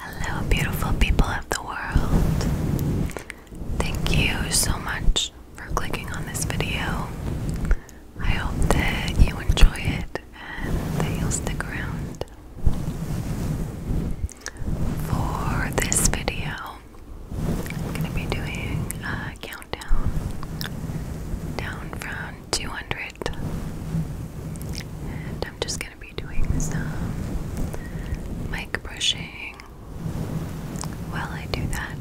Hello, beautiful people of the world. Thank you so much for clicking on this video. I hope that you enjoy it and that you'll stick around. For this video, I'm going to be doing a count down, down, from 200. And I'm just going to be doing some mic brushing while I do that,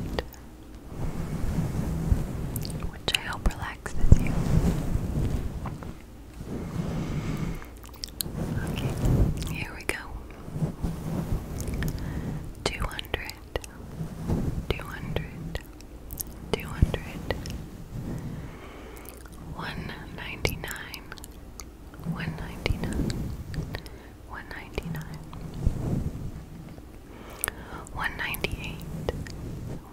which I hope relaxes you. Okay, here we go. 200 200 200 199 199 199 198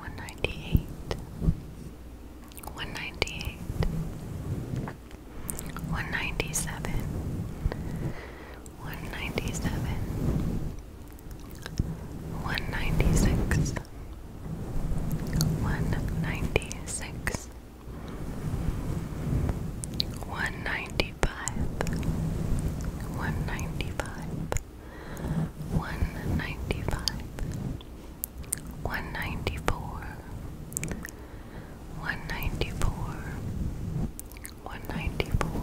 198 198 197 197 one ninety six, one ninety six, one ninety five, one ninety five, one ninety five, one ninety four, one ninety four, one ninety four. 194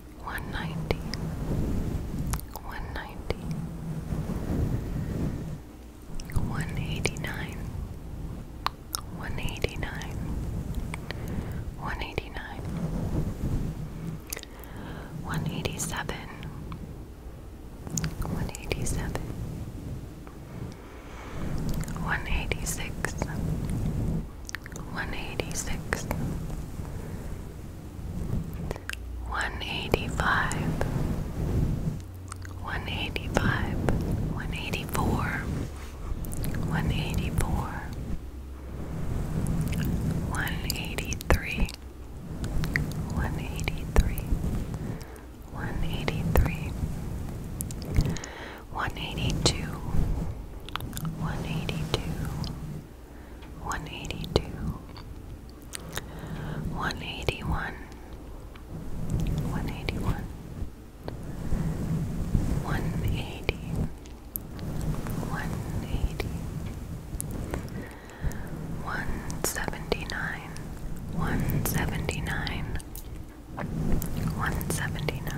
190 190 189 189 189 187 187 186 186 185 185 184 184 183 183 183 182 182 182 181 181 180 180 179 179 179 179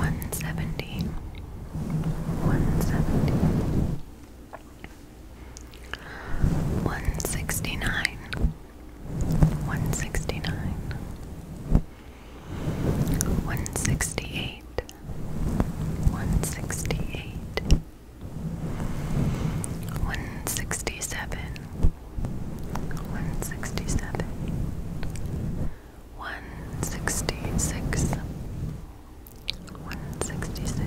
One seventy. One seventy. One sixty nine. One one sixty nine, one sixty nine, one sixty eight, one sixty eight. 167 167 one sixty six, one sixty six,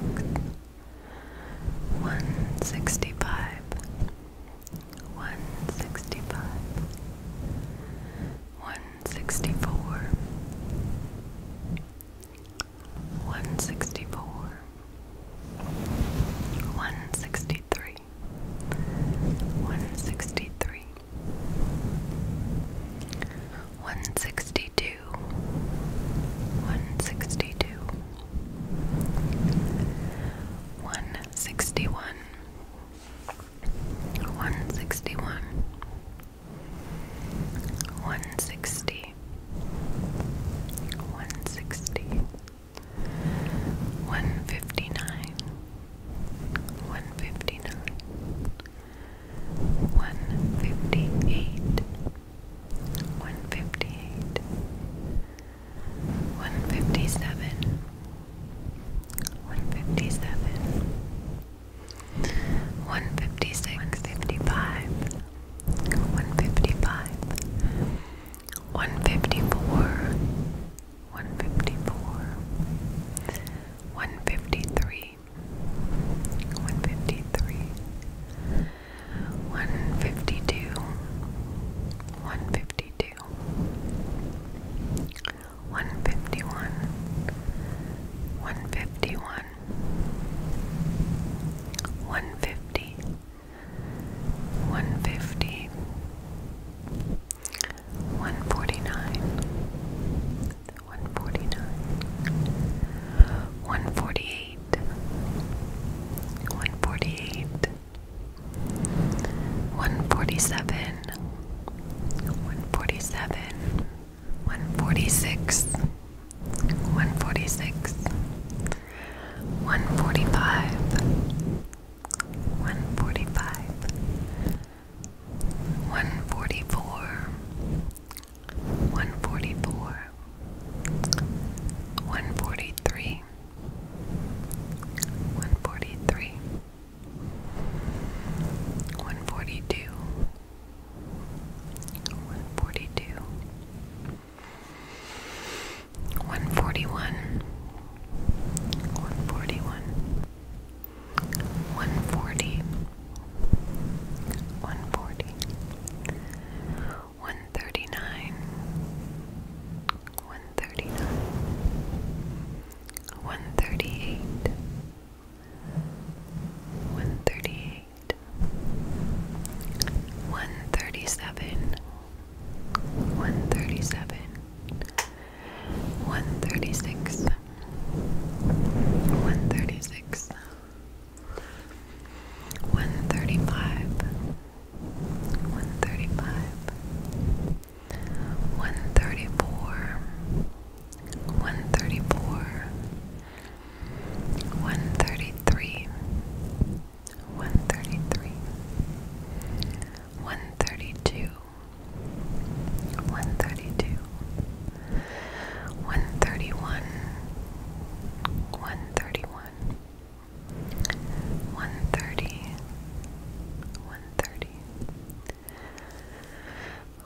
one sixty five, one sixty five, one sixty four, one sixty four, one sixty three. 163 162 162 161 161 160 160 one fifty nine, one fifty nine, one fifty eight, one fifty eight, one fifty seven, one fifty seven, one fifty six, one fifty five, one fifty five. 154 154 153 153 152 152 151 151 150 150 149 149 148 148 147 147 146 146 145 145 144 144 143 143 142 142 141 141 140 140 139 139 138 138 137 137 136 136 135 135 134 134 133 133 132 132 131 131 130 130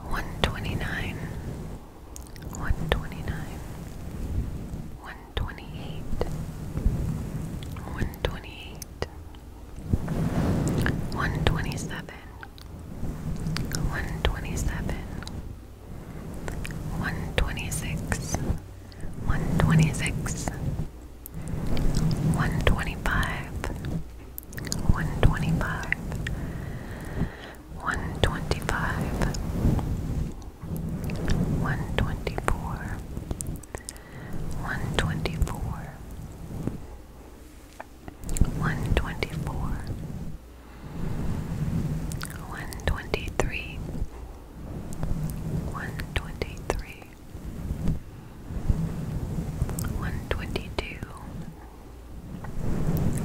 129 129 128 128 one twenty seven, one twenty seven, one twenty six, one twenty six, one twenty five, one twenty five, one twenty five, one twenty four one twenty four, one twenty four, one twenty three, one twenty three, one twenty two,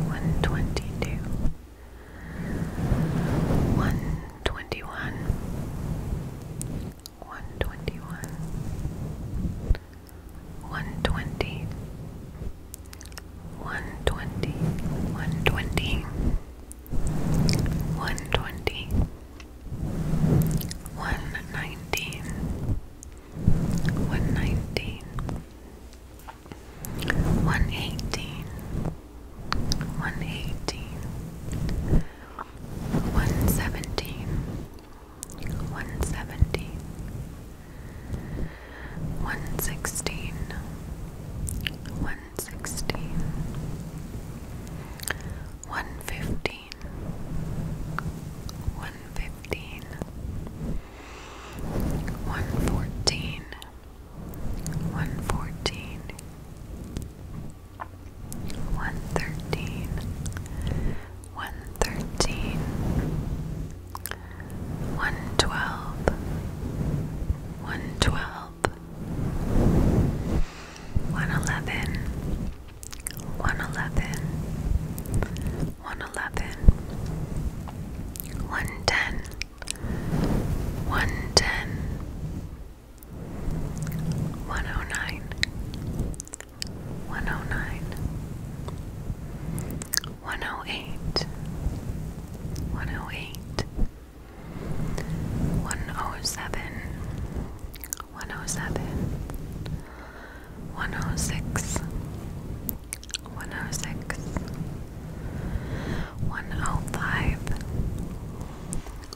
one twenty two, one twenty one. 121 120 120 120 120 119 119 118 118 117 117 116 116 115 115 114 114 one thirteen, one thirteen, one twelve, one twelve, one eleven, one eleven, one eleven, one ten, one ten. 110 111 112 113 114 115 116 117 118 119 120 121 122 123 124 125 126 110 109 109 108 108 107 107 106 106 105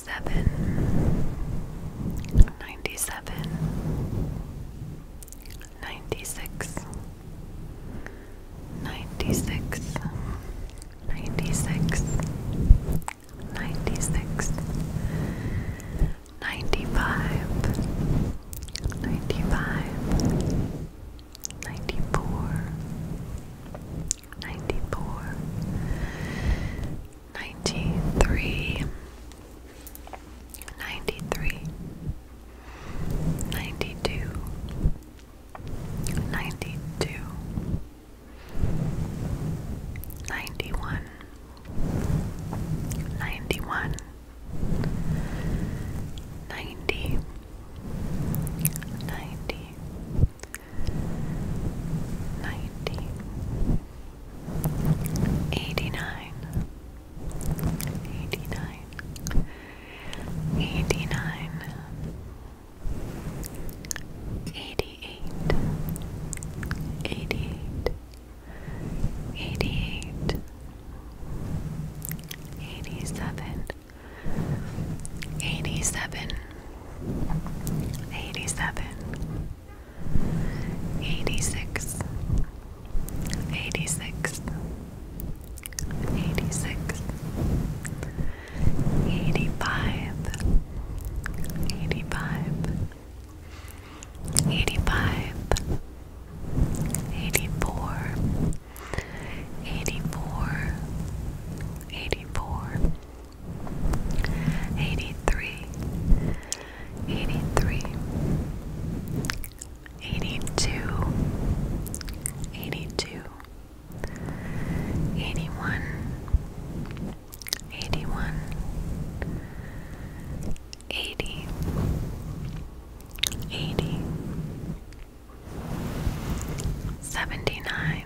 97 96 96 95 94 94 93 92 91 91 ninety, eighty-nine, eighty-nine, eighty-nine, eighty-eight, eighty-eight, eighty-eight, eighty-seven. 87 87 86 86 86 85 85 84 84 83 82 82 81 81 80 79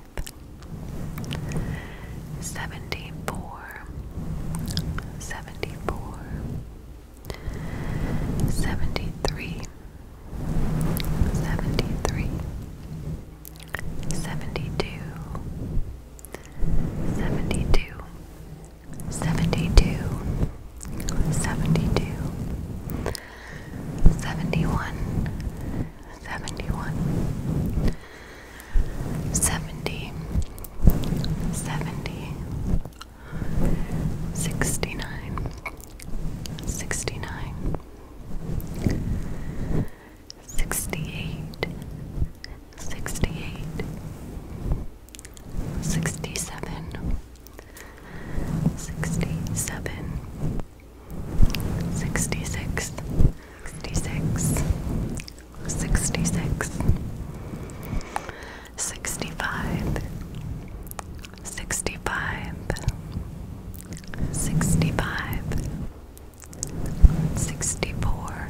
74 74 73 72 72 72 71 71 70 69 68 68 67 67 66 66 66 65 65 65 64 64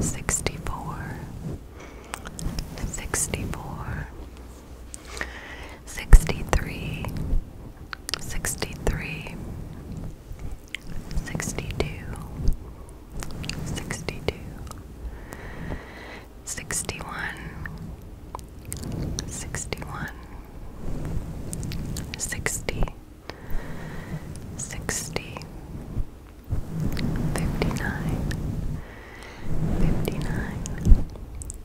64 63 63 62 61 61 60 59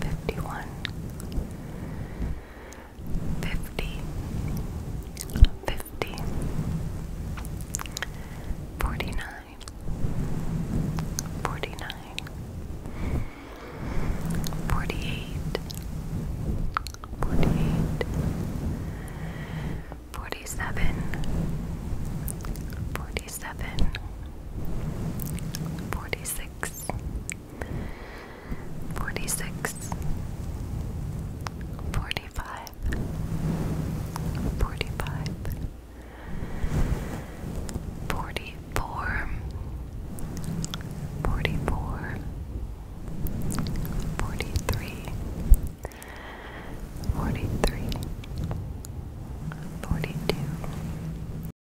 51 49 48 47 47 46 46 45 44 43 42